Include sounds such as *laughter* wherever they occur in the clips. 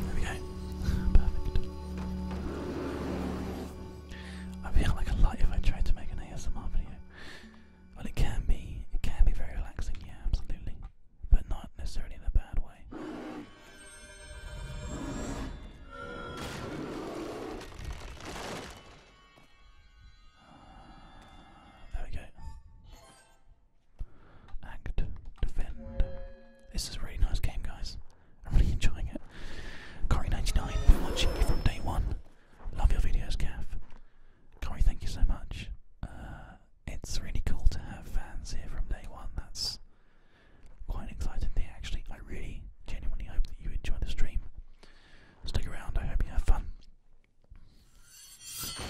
There we go. Perfect. I feel like a light if I tried to make an ASMR video. But it can be. It can be very relaxing, yeah, absolutely. But not necessarily in a bad way. Uh, there we go. Act, defend. This is a really nice game, guys. I'm really enjoying it. Corey99, been watching you from day one. Love your videos, Gav. Corey, thank you so much. Uh, it's really cool to have fans here from day one. That's quite an exciting thing, actually. I really genuinely hope that you enjoy the stream. Stick around, I hope you have fun.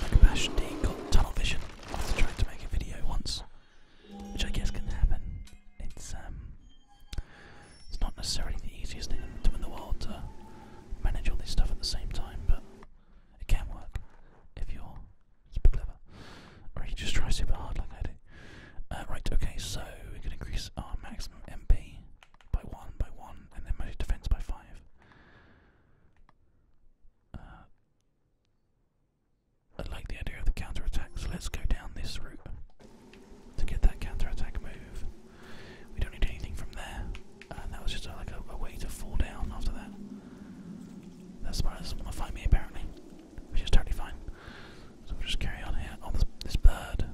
Macabash D got tunnel vision after trying to make a video once, which I guess can happen. It's um, it's not necessarily the easiest thing in the world to manage all this stuff at the same time, but it can work if you're super clever, or you just try super hard like I do. Uh, right, okay, so we're gonna increase our maximum MP by one, by one, and then my defense by five. Uh, I like the idea of the counter attack, so let's go down this route to get that counter attack move. We don't need anything from there, and uh, that was just a, like a, way to fall down after that. That spider doesn't want to fight me apparently, which is totally fine. So we'll just carry on here. on oh, this, this bird.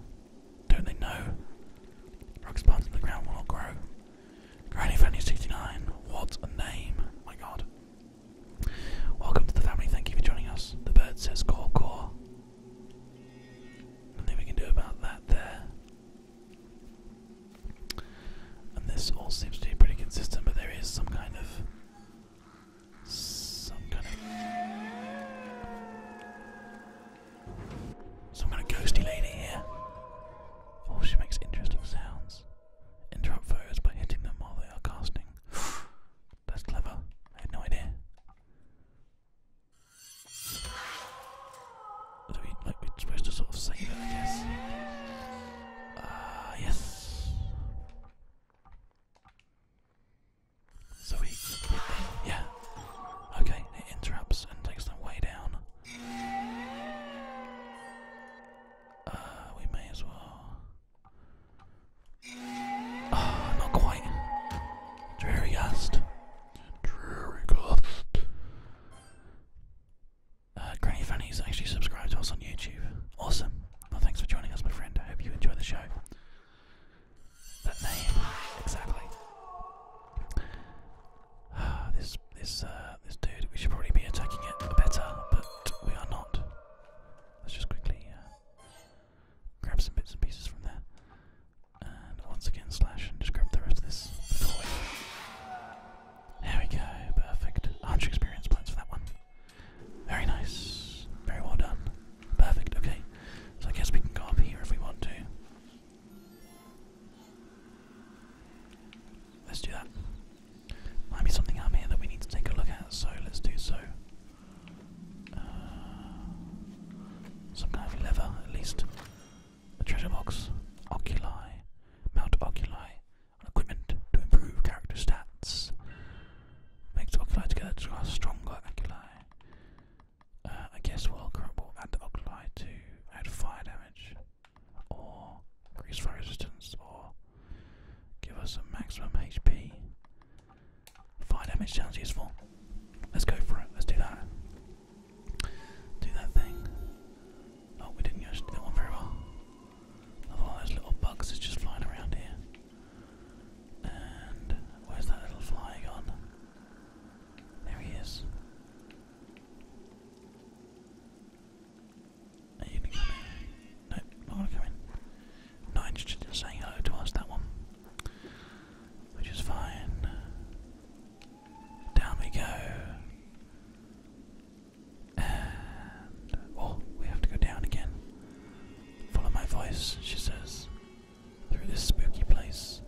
Don't they know? Rocks planted in the ground will not grow. Granny Fanny 69. What a name. My god. Welcome to the family. Thank you for joining us. The bird says caw caw. Nothing we can do about that there. And this all seems to be pretty consistent, but there is some kind of some kind of some kind ghosty lady here. Oh, she makes interesting sounds. Interrupt photos by hitting them while they are casting. *gasps* That's clever. I had no idea. Do we, like, we're supposed to sort of save it, I guess. Ah, yes. So we yeah. Okay, it interrupts and takes them way down. Uh, we may as well. Ah, not quite. Dreary gust. Dreary gust. Uh, Granny Fanny's actually subscribed to us on YouTube. Awesome. Well, thanks for joining us, my friend. I hope you enjoy the show. That name exactly. Uh, *sighs* this this uh, this dude. We should probably be attacking it better, but we are not. Let's just quickly uh, grab some bits and pieces from there, and once again slash and just grab the rest of this. There we go. Perfect. 100 experience points for that one. Very nice. Very well done. Perfect, okay. So I guess we can go up here if we want to. Let's do that. Might be something up here that we need to take a look at, so let's do so. Uh, some kind of lever, at least. A treasure box. Oculi. Mount Oculi. equipment to improve character stats. Makes Oculi together to strong stronger Oculi. Uh, I guess we'll crumble and alkali to add fire damage, or increase fire resistance, or give us a maximum HP. Fire damage sounds useful. Let's go for it. Let's do that. Do that thing. Oh, we didn't use that one very well. all those little bugs that's just flying around here. And where's that little fly gone? There he is. Are you gonna come in? No, not gonna come in. Not interested saying hello to us, that one. Which is fine. Down we go. And. Oh, we have to go down again. Follow my voice, she says through this spooky place.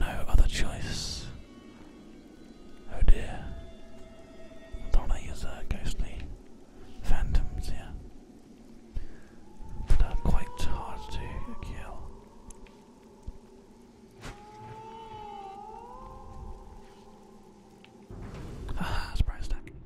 No other choice. Oh dear. I thought I use uh, ghostly phantoms here. But are quite hard to kill. Ah, surprise attack.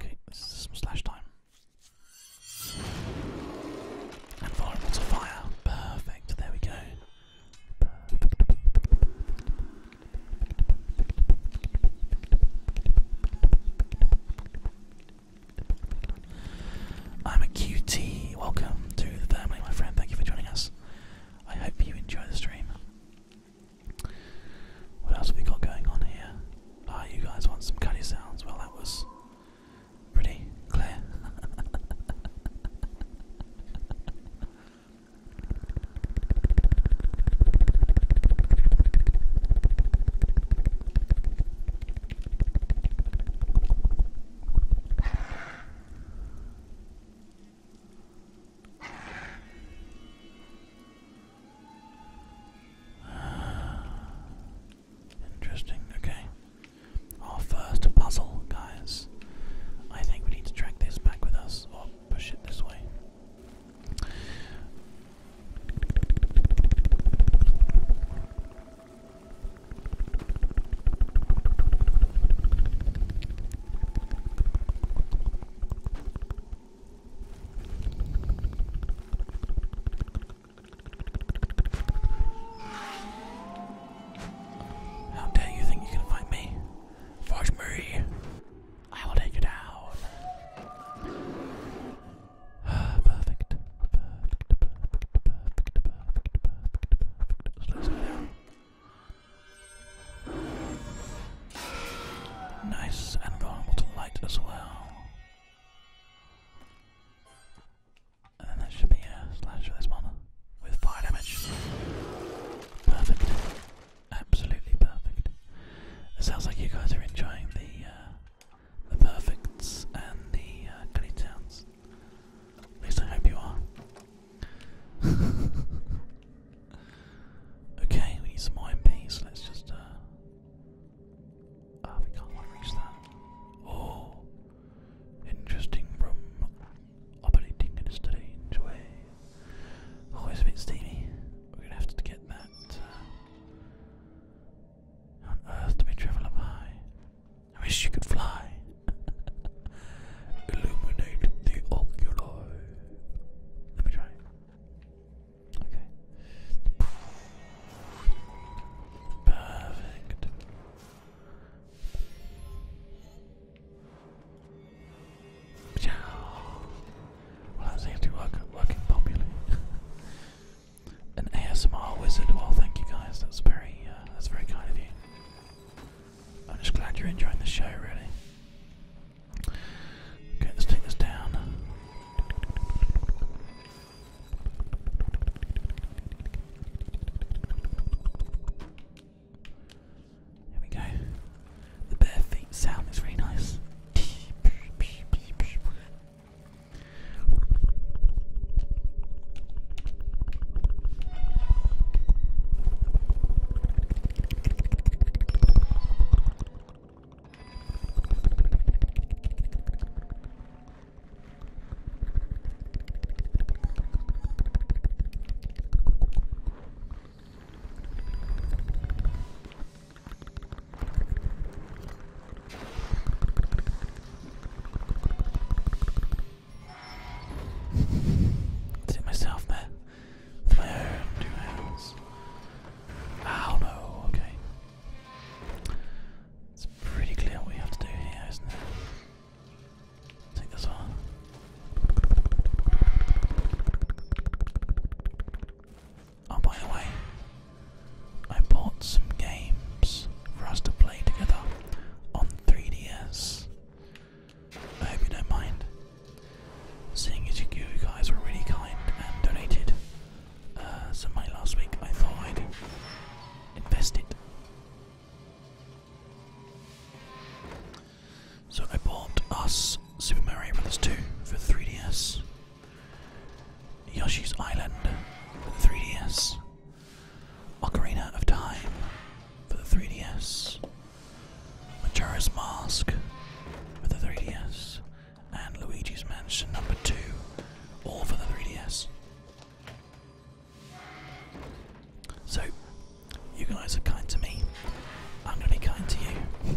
Okay, this is some slash time. fire. Perfect, there we go. I'm a QT. Welcome to the family, my friend. Thank you for joining us. I hope you enjoy the stream. What else have we got going on here? Ah, you guys want some cutty sounds? Well, that was pretty clear. *sighs* Interesting, okay. Our first puzzle, guys. I think we need to drag this back with us or push it this way. How dare you think you can fight me? Fight me! I will take you down. *sighs* perfect. Nice and vulnerable to light as well. And then that should be slash for this one with fire damage. Perfect. Absolutely perfect. It sounds like you guys are enjoying the uh, the perfects and the gully uh, towns. At least I hope you are. *laughs* Okay, we need some iron Let's just. Uh... Ah, we can't reach that. Oh, interesting room. Operating in a strange way. Oh, a bit steamy. We're gonna have to get that. Uh, on earth do we travel up high? I wish you could fly. *laughs* Illuminate the ocular. Let me try. Okay. Perfect. Well, that seems to be working popularly. An ASMR wizard. Well, thank you guys. That's very, that's very kind of you. I'm just glad you're enjoying the show, really. Okay, let's take this down. There we go. The bare feet sound is really nice. Did it myself there two hands. Ah, Ow no, okay. It's pretty clear what we have to do here, isn't it? Take this one. Oh, by the way, I bought some games for us to play together on 3DS. I hope you don't mind. Seeing as you guys were really kind and donated uh, some money last week, I thought I'd invest it. So I bought us Super Mario Brothers 2 for 3DS, Yoshi's Island for 3DS, Ocarina of Time for the 3DS, Majora's Mask for the 3DS, and Luigi's Mansion number 2, all for the 3DS. So, you guys are kind to me, I'm going to be kind to you.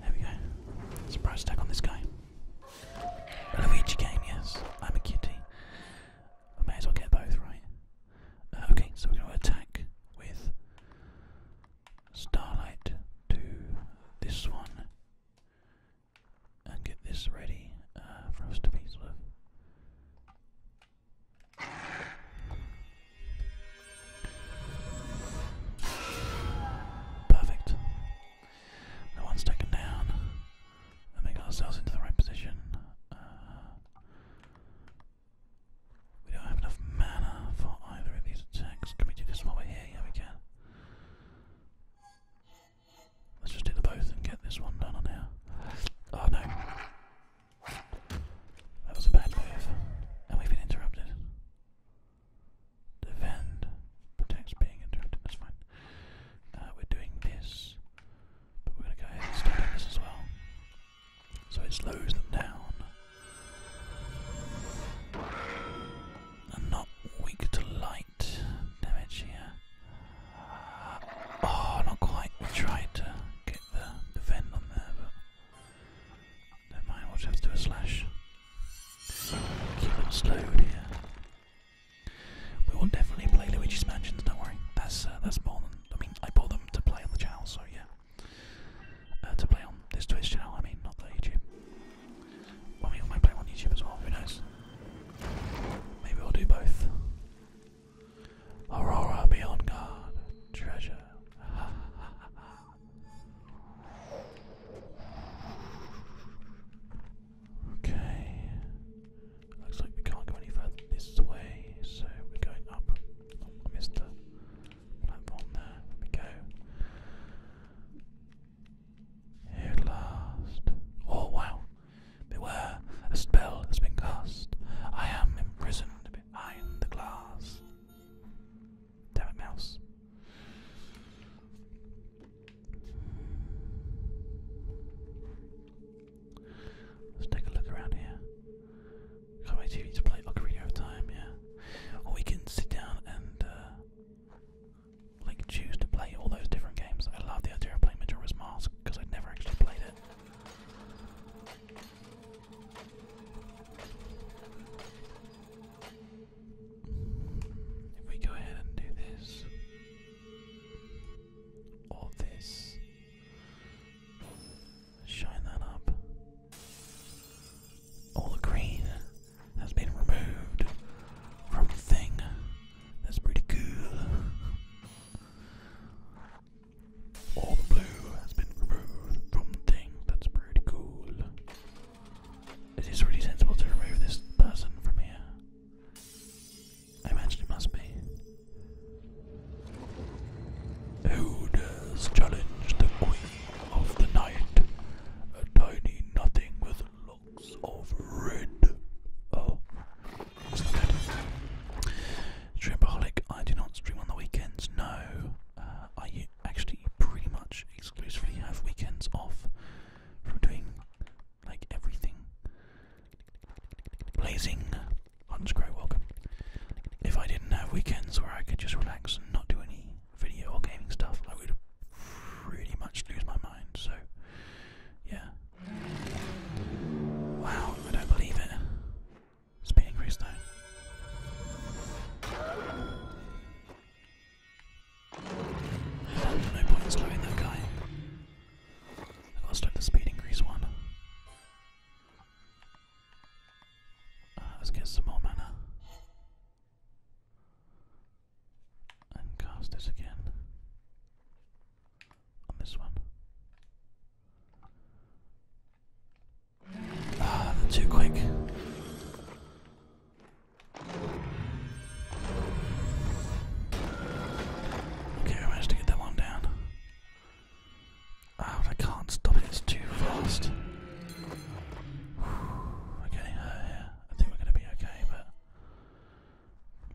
There we go. Surprise attack on this guy. Luigi game, yes. I'm a kitty. I may as well get both, right? Uh, okay, so we're going to attack with Starlight to this one get this ready uh, for us to be sort Perfect. No one's taken down. And we got ourselves into the right position. Uh, we don't have enough mana for either of these attacks. Can we do this while we're here? Yeah, we can. Let's just do the both and get this one done on here. Oh no. That was a bad move. And we've been interrupted. Defend protects being interrupted. That's fine. Uh, we're doing this, but we're going to go ahead and stop this as well. So it slows them down. And not weak to light damage here. Oh, not quite. We tried to get the defend on there, but don't mind, we'll just have to do a slash. Keep it slowed We will definitely play Luigi's Mansion. don't worry. That's uh, that's more than I mean I bought them to play on the channel, so yeah. Uh, to play on this Twitch channel, I mean, not the YouTube. Well, we might play on YouTube as well, who knows? Maybe we'll do both. Aurora, be on guard. Treasure. *laughs* Okay. Looks like we can't go any further this way, so we're going up. Oh, I missed the platform there. There we go. Here at last. Oh wow. Beware, a spell has been cast. I am imprisoned behind the glass. Damn it, mouse. Let's take a look around here. Can't wait to play Ocarina of Time, yeah. Or we can sit down and uh, like choose to play all those different games. I love the idea of playing Majora's Mask because I'd never actually played it. If we go ahead and do this, or this, shine that up. All the green has been removed from the thing. That's pretty cool. All the blue has been removed from the thing. That's pretty cool. It is really sensible to remove this person from here. I imagine it must be. Who dares challenge the queen of the night? A tiny nothing with locks of red. Oh, that's not good. Streamaholic, I do not stream on the weekends, no. Uh, I actually pretty much exclusively have weekends off from doing like everything. Blazing Hunchcrow, welcome. If I didn't have weekends where I could just relax and not do any video or gaming stuff, I would pretty much lose my mind. So, yeah. Wow, I don't believe it. Speed increase nine. No point in that guy. I gotta the speed increase one. Uh, let's get some more mana. And cast this again. On this one. Ah, too quick. Okay, managed to get that one down. oh, I can't stop it, it's too fast. okay, uh, yeah, I think we're going to be okay, but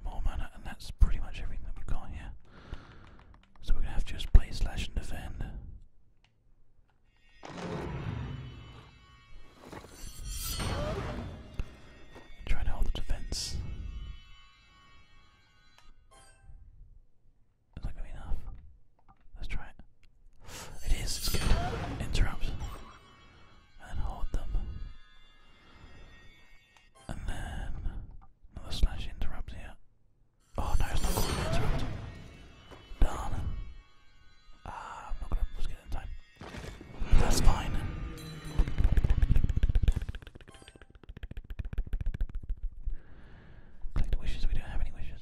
more mana, and that's pretty much everything that we got here. So we're going to have to just play slash and defend. Trying to hold the defense. It's not gonna be enough. Let's try it. It is, it's good. Interrupt. And hold them. And then another slash interrupt here. Oh no, it's not going to interrupt. Darn it. Ah, I'm not going to get in time. That's fine. Click the wishes, we don't have any wishes.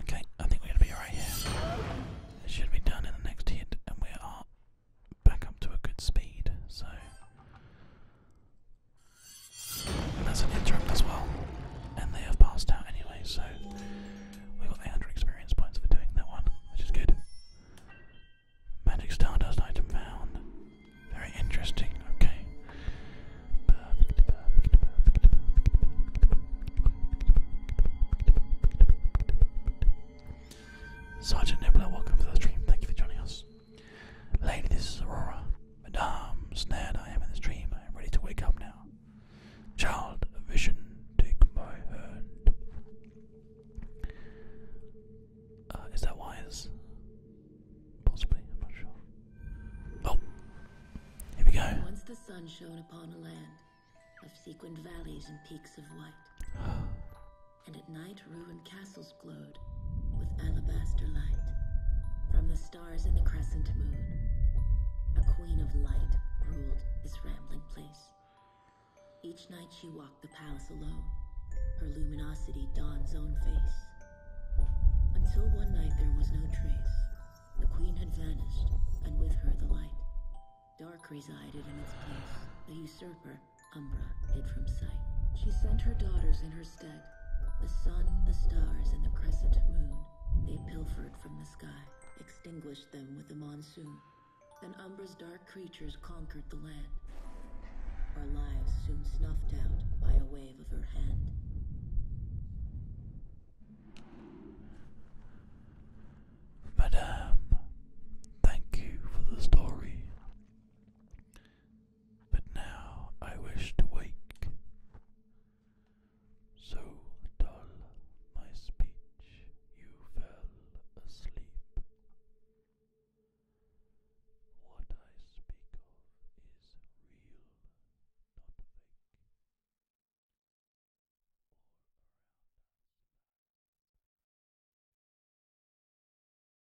Okay, I think we're going to be right here. should be done in the next hit, and we are back up to a good speed, so that's an interrupt as well. And they have passed out anyway, so we got 800 experience points for doing that one, which is good. Magic Stardust item found. Very interesting, okay. Sergeant Nibbler, welcome to the stream. Thank you for joining us. Lady, this is Aurora. Madame, snared I am in this dream. I am ready to wake up now. Child, a vision, take my hand. Uh, is that wise? Possibly, I'm not sure. Oh, here we go. Once the sun shone upon a land of sequined valleys and peaks of white. *gasps* *gasps* and at night ruined castles glowed with alabaster light from the stars in the crescent moon. A queen of light ruled this rambling place. Each night she walked the palace alone, her luminosity Dawn's own face. Until one night there was no trace. The queen had vanished, and with her the light. Dark resided in its place, the usurper, However, Umbra hid from sight. She sent her daughters in her stead. The sun, the stars, and the crescent moon they pilfered from the sky, extinguished them with the monsoon. Then Umbra's dark creatures conquered the land. Our lives soon snuffed out by a wave of her hand. Madame, thank you for the story but now I wish to wake. So dull my speech, you fell asleep. What I speak of is real,